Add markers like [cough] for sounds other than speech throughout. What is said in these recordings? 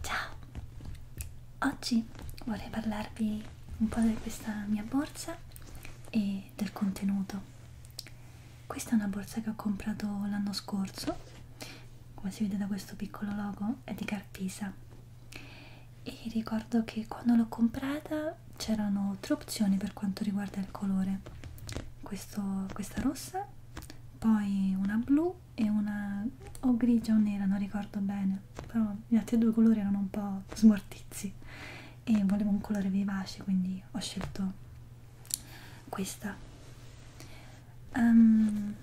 Ciao! Oggi vorrei parlarvi un po' di questa mia borsa e del contenuto. Questa è una borsa che ho comprato l'anno scorso, come si vede da questo piccolo logo, è di Carpisa. E ricordo che quando l'ho comprata c'erano tre opzioni per quanto riguarda il colore. Questo, questa rossa, poi una blu e una o grigia o nera, non ricordo bene, però gli altri due colori erano un po' smortizi e volevo un colore vivace, quindi ho scelto questa. Um,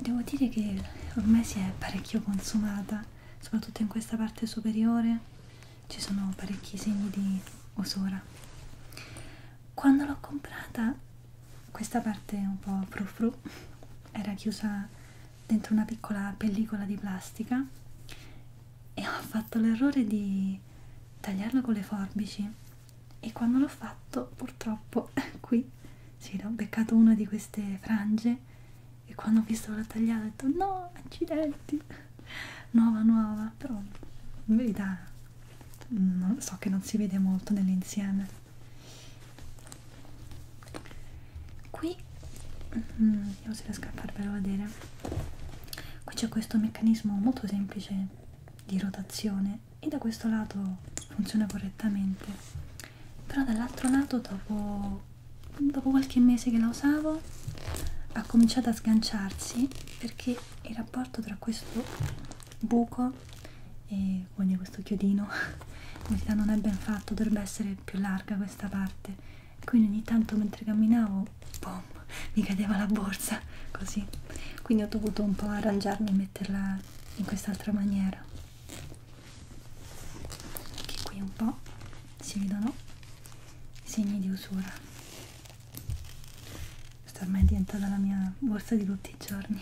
devo dire che ormai si è parecchio consumata, soprattutto in questa parte superiore ci sono parecchi segni di usura quando l'ho comprata questa parte un po' fru fru era chiusa dentro una piccola pellicola di plastica e ho fatto l'errore di tagliarlo con le forbici e quando l'ho fatto purtroppo [laughs] qui sì, ho beccato una di queste frange e quando ho visto l'ho tagliata ho detto no accidenti nuova nuova però in verità non, so che non si vede molto nell'insieme qui mm, vediamo se riesco a farvelo vedere qui c'è questo meccanismo molto semplice di rotazione e da questo lato funziona correttamente però dall'altro lato dopo dopo qualche mese che la usavo ha cominciato a sganciarsi perché il rapporto tra questo buco e quindi questo chiodino [laughs] in realtà non è ben fatto, dovrebbe essere più larga questa parte e quindi ogni tanto mentre camminavo boom, mi cadeva la borsa [laughs] così quindi ho dovuto un po' arrangiarmi e metterla in quest'altra maniera anche qui un po' si vedono i segni di usura questa ormai è diventata la mia borsa di tutti i giorni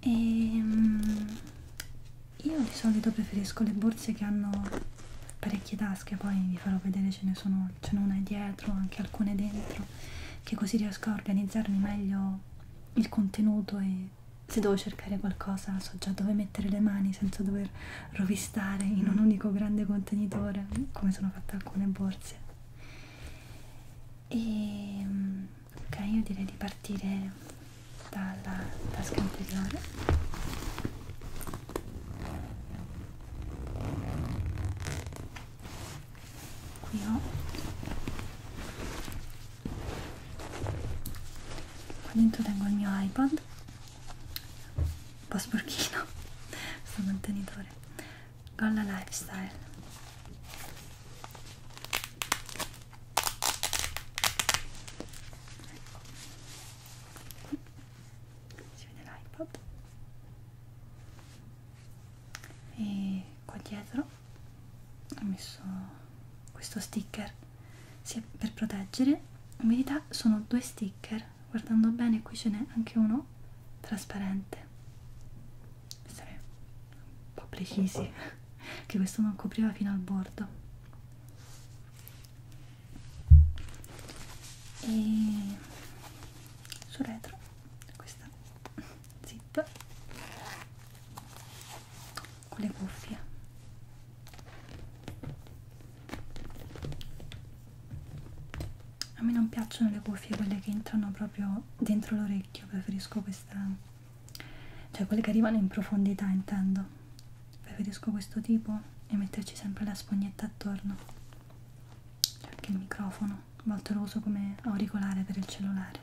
e um, io di solito preferisco le borse che hanno parecchie tasche poi vi farò vedere ce ne sono ce n'è una dietro anche alcune dentro che così riesco a organizzarmi meglio il contenuto e se devo cercare qualcosa so già dove metterlo mettere le mani senza dover rovistare in un mm. unico grande contenitore come sono fatte alcune borse e ehm, ok io direi di partire dalla tasca anteriore qui ho qua dentro tengo il mio iPod un po' sporchino questo [laughs] contenitore Golla Lifestyle ecco qui si vede l'iPod e qua dietro ho messo questo sticker sì, per proteggere umidità sono due sticker guardando bene qui ce n'è anche uno trasparente essere un po' precisi [laughs] che questo non copriva fino al bordo e sul retro questa zip con le cuffie a me non piacciono le cuffie quelle che entrano proprio dentro l'orecchio preferisco questa cioè quelle che arrivano in profondità intendo preferisco questo tipo e metterci sempre la spugnetta attorno c'è anche il microfono a volte lo uso come auricolare per il cellulare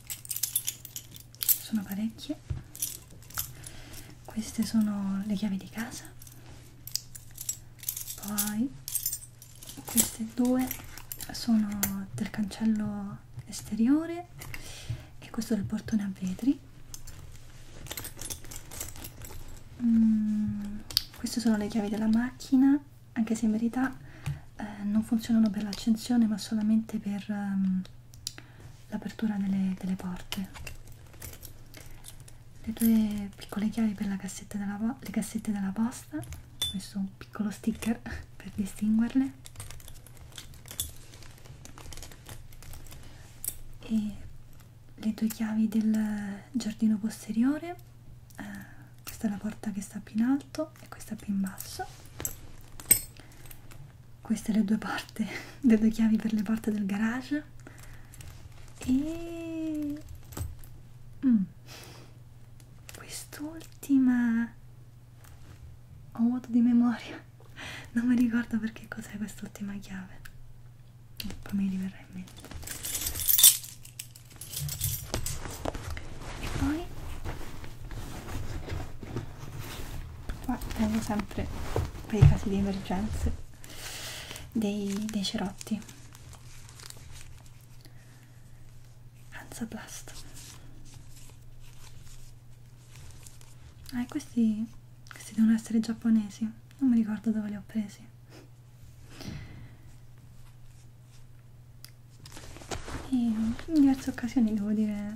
sono parecchie queste sono le chiavi di casa poi queste due sono del cancello esteriore e questo è il portone a vetri mm, queste sono le chiavi della macchina anche se in verità eh, non funzionano per l'accensione ma solamente per um, l'apertura delle, delle porte le due piccole chiavi per la cassetta della, le cassette della posta ho messo un piccolo sticker [laughs] per distinguerle e le due chiavi del giardino posteriore eh, questa è la porta che sta più in alto e questa più in basso queste le due porte [laughs] le due chiavi per le porte del garage e mm. quest'ultima ho vuoto di memoria [laughs] non mi ricordo perché cos'è quest'ultima chiave poi mi riverrà in mente e poi qua abbiamo sempre per i casi di emergenze dei, dei cerotti Hansaplast ah, questi, questi devono essere giapponesi non mi ricordo dove li ho presi e in diverse occasioni, devo dire,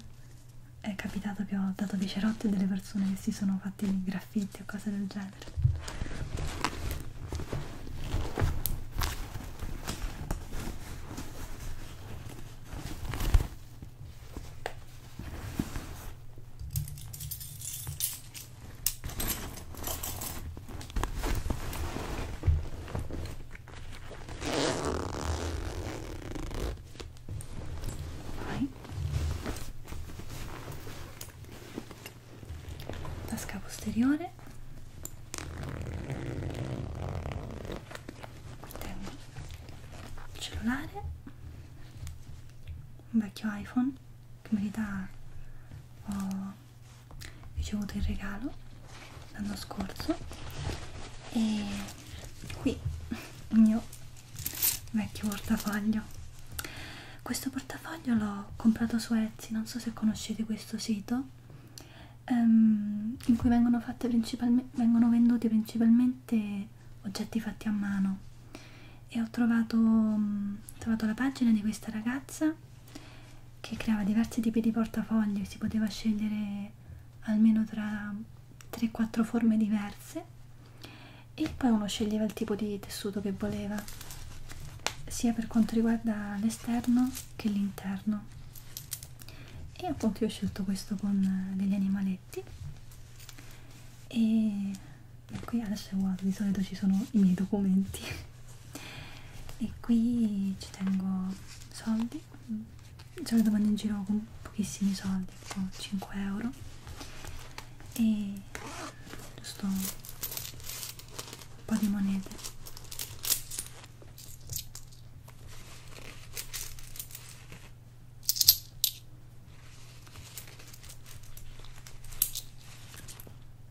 è capitato che ho dato dei cerotti a delle persone che si sono fatti dei graffiti o cose del genere. Vai. Tasca posteriore. Tengo il cellulare. Un vecchio iPhone che in verità ho oh, ricevuto in regalo l'anno scorso e qui il mio vecchio portafoglio questo portafoglio l'ho comprato su Etsy non so se conoscete questo sito um, in cui vengono, fatte vengono venduti principalmente oggetti fatti a mano e ho trovato, mm, ho trovato la pagina di questa ragazza che creava diversi tipi di portafoglio, si poteva scegliere almeno tra 3-4 forme diverse e poi uno sceglieva il tipo di tessuto che voleva, sia per quanto riguarda l'esterno che l'interno. E appunto io ho scelto questo con eh, degli animaletti e qui adesso è vuoto, di solito ci sono i miei documenti [laughs] e qui ci tengo soldi mm. se lo domando in giro con pochissimi soldi tipo 5 euro e giusto un po' di monete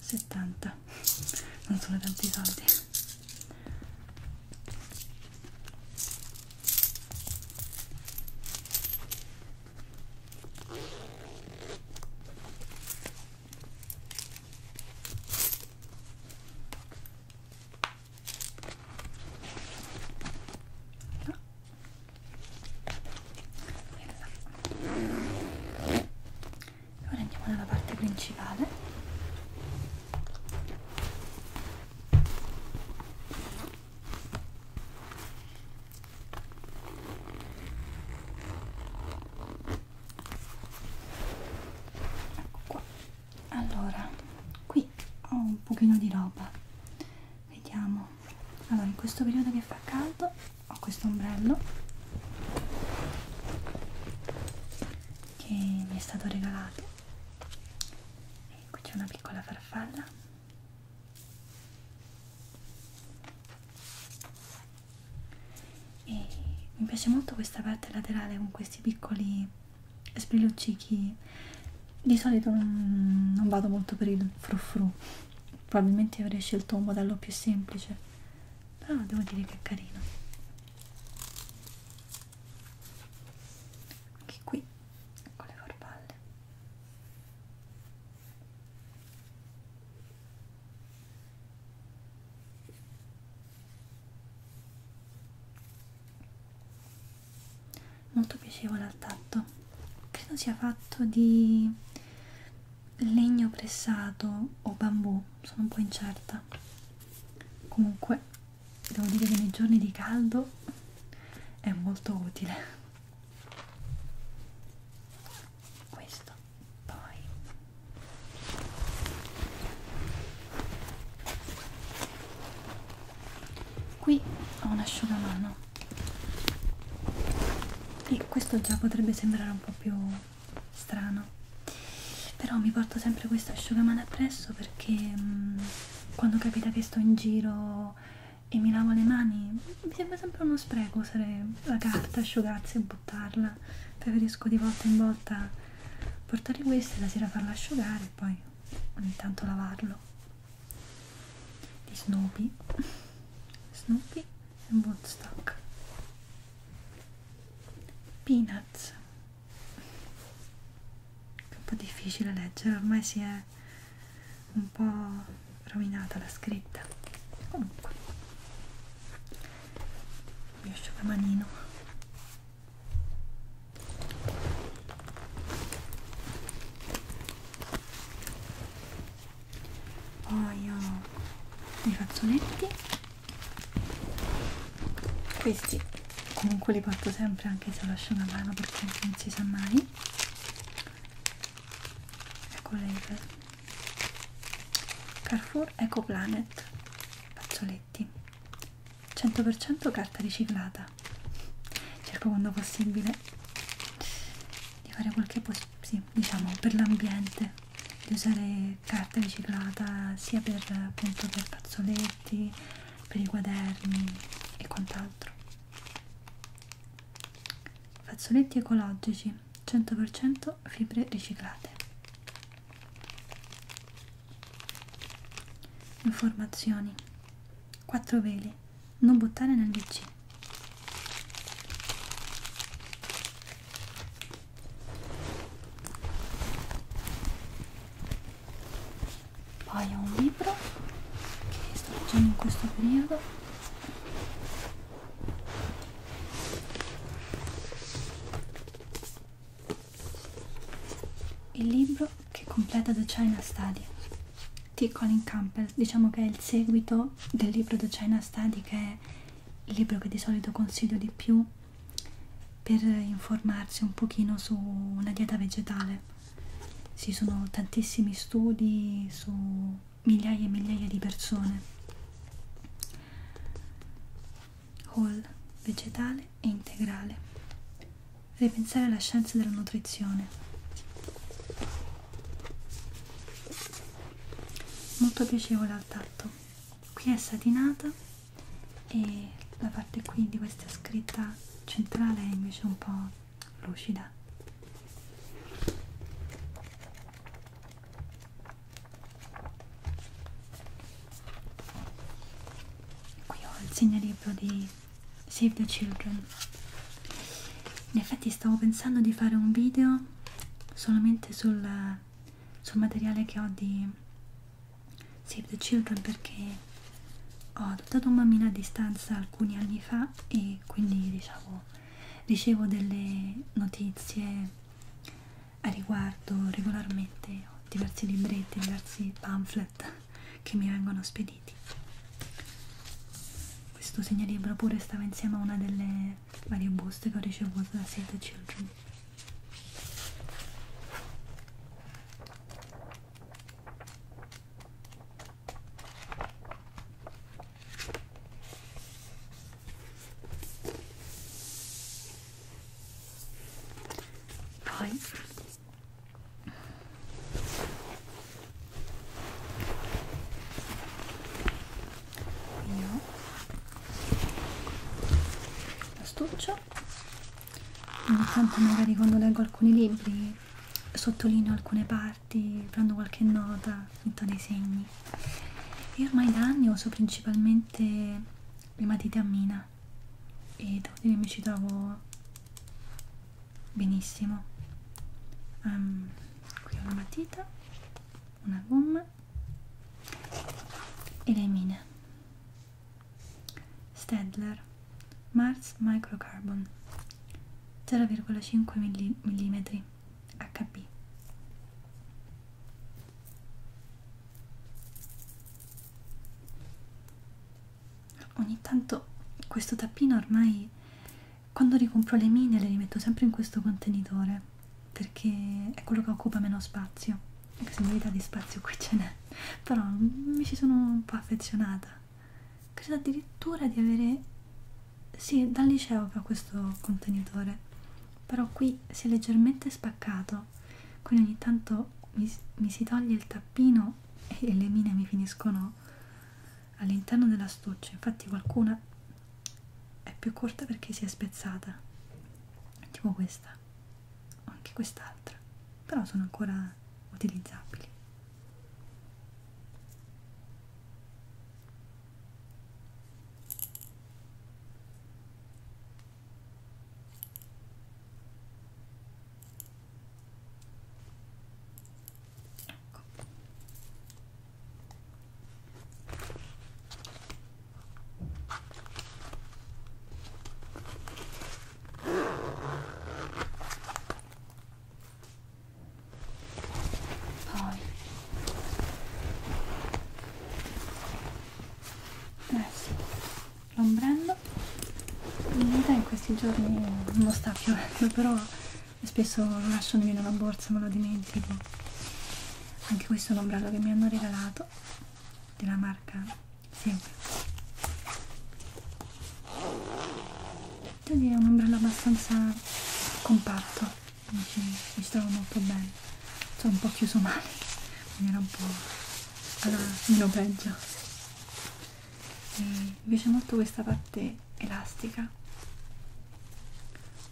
70 non sono tanti soldi no ora andiamo nella parte principale ecco qua allora qui ho un pochino di roba vediamo allora in questo periodo che fa caldo ho questo ombrello che mi è stato regalato e qui c'è una piccola farfalla e mi piace molto questa parte laterale con questi piccoli sbrilluccichi di solito non, non vado molto per il frufru probabilmente avrei scelto un modello più semplice però devo dire che è carino anche qui con le farfalle molto piacevole al tatto credo sia fatto di legno pressato o bambù, sono un po' incerta. Comunque, devo dire che nei giorni di caldo è molto utile. Questo poi qui ho un asciugamano e questo già potrebbe sembrare un po' più strano però mi porto sempre questo asciugamano appresso perché mh, quando capita che sto in giro e mi lavo le mani mi sembra sempre uno spreco usare la carta, asciugarsi e buttarla preferisco di volta in volta portare questo e la sera farla asciugare e poi ogni tanto lavarlo di Snoopy [laughs] Snoopy è un buon stock peanuts è un po' difficile leggere ormai si è un po' rovinata la scritta comunque mi asciugamanino poi ho dei fazzoletti questi comunque li porto sempre anche se ho l'asciugamano perché non si sa mai ecco l'Ever Carrefour Eco Planet fazzoletti 100% carta riciclata cerco quando possibile di fare quel che è possibile sì, diciamo per l'ambiente di usare carta riciclata sia per appunto per fazzoletti, per i quaderni e quant'altro fazzoletti ecologici 100% fibre riciclate informazioni 4 veli non buttare nel WC poi ho un libro che sto leggendo in questo periodo il libro che completa The China Study di Colin Campbell diciamo che è il seguito libro del libro The China Study che è il libro che di solito consiglio di più per informarsi un pochino su una dieta vegetale ci sono tantissimi studi su migliaia e migliaia di persone whole vegetale e integrale ripensare alla scienza della nutrizione molto piacevole al tatto qui è satinata e la parte qui di questa scritta centrale è invece un po' lucida qui ho il segnalibro di Save the Children in effetti stavo pensando di fare un video solamente sul, sul materiale che ho di Save the Children perché ho adottato un bambino a distanza alcuni anni fa e quindi diciamo ricevo delle notizie a riguardo regolarmente ho diversi libretti, diversi pamphlet che mi vengono spediti questo segnalibro pure stava insieme a una delle varie buste che ho ricevuto da Save the Children poi io l'astuccio ogni tanto magari quando leggo alcuni libri sottolineo alcune parti prendo qualche nota metto dei segni e ormai da anni uso principalmente le matite a mina e devo dire mi ci trovo benissimo um, qui ho una matita una gomma e le mine Stedler Mars Microcarbon 0,5 mm HB ogni tanto questo tappino ormai quando ricompro le mine le rimetto sempre in questo contenitore perché è quello che occupa meno spazio anche se in verità di spazio qui ce n'è però mi ci sono un po' affezionata credo addirittura di avere sì dal liceo che ho questo contenitore però qui si è leggermente spaccato quindi ogni tanto mi, mi si toglie il tappino e le mine mi finiscono all'interno della stuccia infatti qualcuna è più corta perché si è spezzata tipo questa o anche quest'altra però sono ancora utilizzabili Ecco. Poi eh sì, l'ombrello in realtà in questi giorni non sta piovendo però spesso lascio nemmeno la borsa, me lo dimentico. Anche questo è un ombrello che mi hanno regalato della marca Sempre. Devo dire, è un ombrello abbastanza compatto, mi ci, mi ci trovo molto bene. Sono un po' chiuso male, quindi era un po' alla meno peggio e mi piace molto questa parte elastica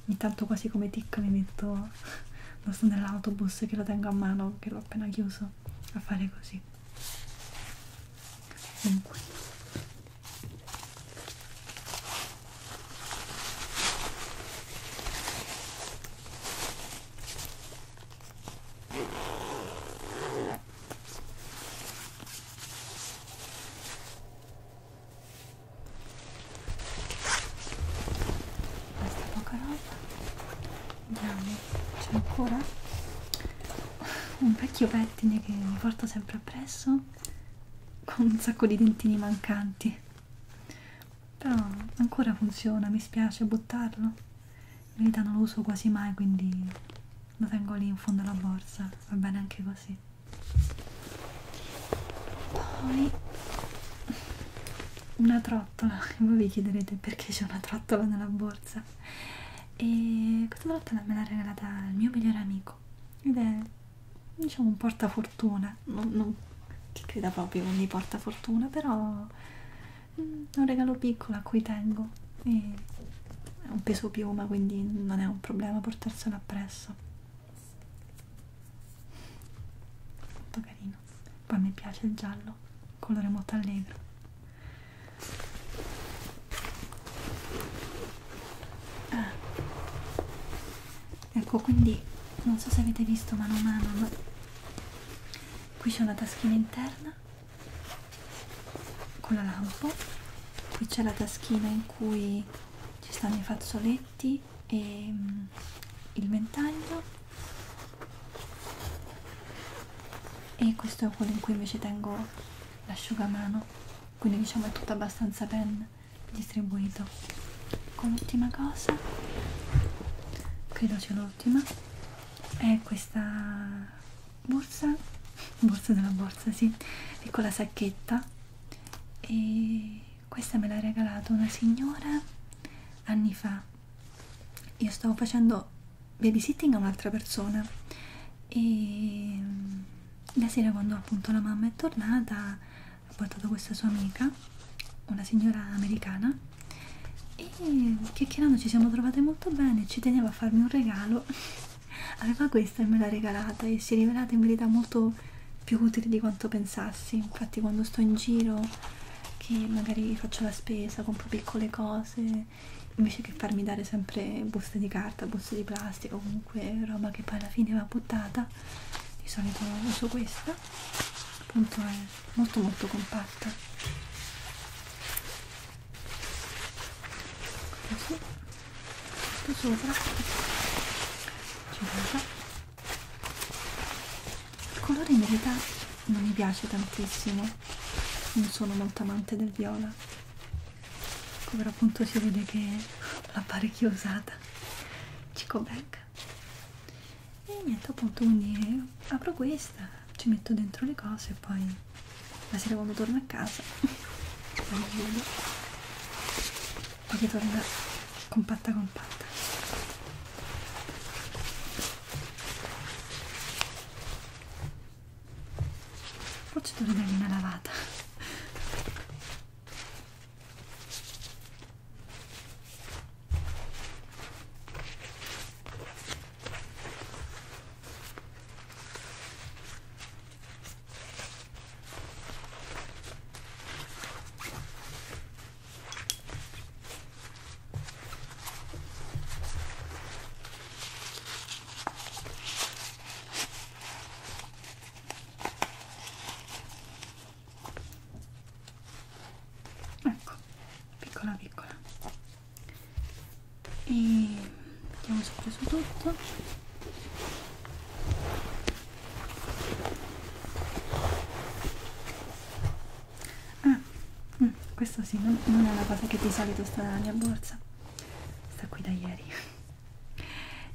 ogni tanto quasi come tic mi metto lo [laughs] sto nell'autobus che lo tengo a mano che l'ho appena chiuso a fare così comunque questa poca roba. Andiamo, c'è ancora un vecchio pettine che mi porto sempre appresso con un sacco di dentini mancanti. Però ancora funziona, mi spiace buttarlo. In verità non lo uso quasi mai, quindi lo tengo lì in fondo alla borsa, va bene anche così. Poi una trottola, [laughs] voi vi chiederete perché c'è una trottola nella borsa e questa trottola me l'ha regalata il mio migliore amico ed è diciamo un portafortuna, non, non che creda proprio mi portafortuna, però mm, è un regalo piccolo a cui tengo e è un peso piuma quindi non è un problema portarsela appresso molto carino poi mi piace il giallo colore molto allegro ah. ecco quindi non so se avete visto mano a mano ma qui c'è una taschina interna con la lampo qui c'è la taschina in cui ci stanno i fazzoletti e mm, il ventaglio e questo è quello in cui invece tengo l'asciugamano quindi diciamo è tutto abbastanza ben distribuito con l'ultima cosa credo c'è l'ultima è questa borsa borsa della borsa sì piccola sacchetta e questa me l'ha regalata una signora anni fa io stavo facendo babysitting a un'altra persona e mm, la sera quando appunto la mamma è tornata ha portato questa sua amica una signora americana e chiacchierando ci siamo trovate molto bene ci teneva a farmi un regalo aveva questa e me l'ha regalata e si è rivelata in verità molto più utile di quanto pensassi infatti quando sto in giro che magari faccio la spesa compro piccole cose invece che farmi dare sempre buste di carta buste di plastica comunque roba che poi alla fine va buttata di solito uso questa appunto è molto molto compatta così tutto sopra girata il colore in verità non mi piace tantissimo non sono molto amante del viola ecco però appunto si vede che l'ho parecchio usata cico bag e niente appunto quindi apro questa ci metto dentro le cose e poi la sera quando torno a casa [laughs] poi chiudo perché torna compatta compatta forse devo dargli una lavata Ecco, piccola piccola e mettiamo sopra su tutto ah mh, mm, questo sì non, non è una cosa che di solito sta nella mia borsa sta qui da ieri [laughs]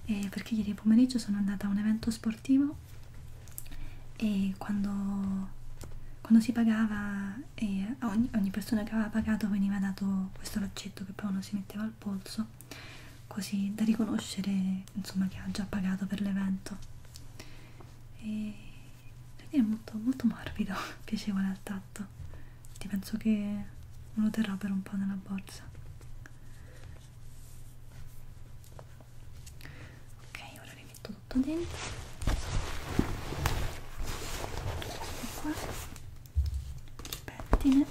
e eh, perché ieri pomeriggio sono andata a un evento sportivo e quando, quando si pagava e a ogni, ogni persona che aveva pagato veniva dato questo laccetto che poi uno si metteva al polso così da riconoscere insomma che ha già pagato per l'evento e è molto, molto morbido [laughs] piacevole al tatto ti penso che me lo terrò per un po' nella borsa ok ora rimetto tutto dentro qua il pettine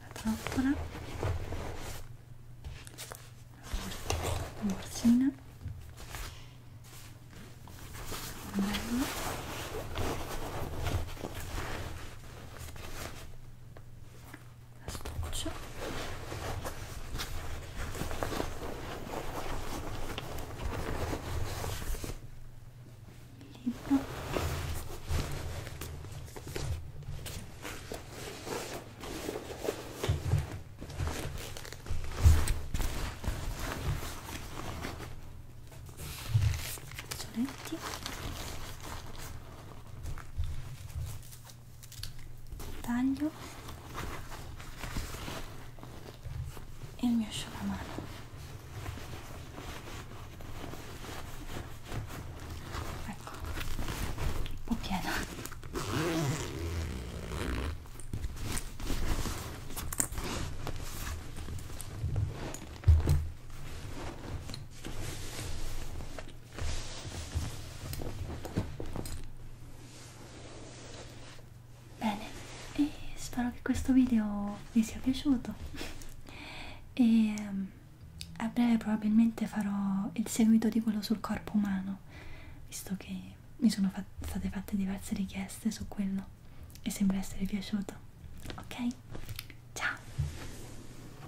la trappola la borsina l'ombrello astuccio il libro soletti taglio e il mio asciugamano ecco un po' piena Bene, e spero che questo video vi sia piaciuto e ehm, a breve probabilmente farò il seguito di quello sul corpo umano, visto che mi sono fat state fatte diverse richieste su quello e sembra essere piaciuto. Ok? Ciao!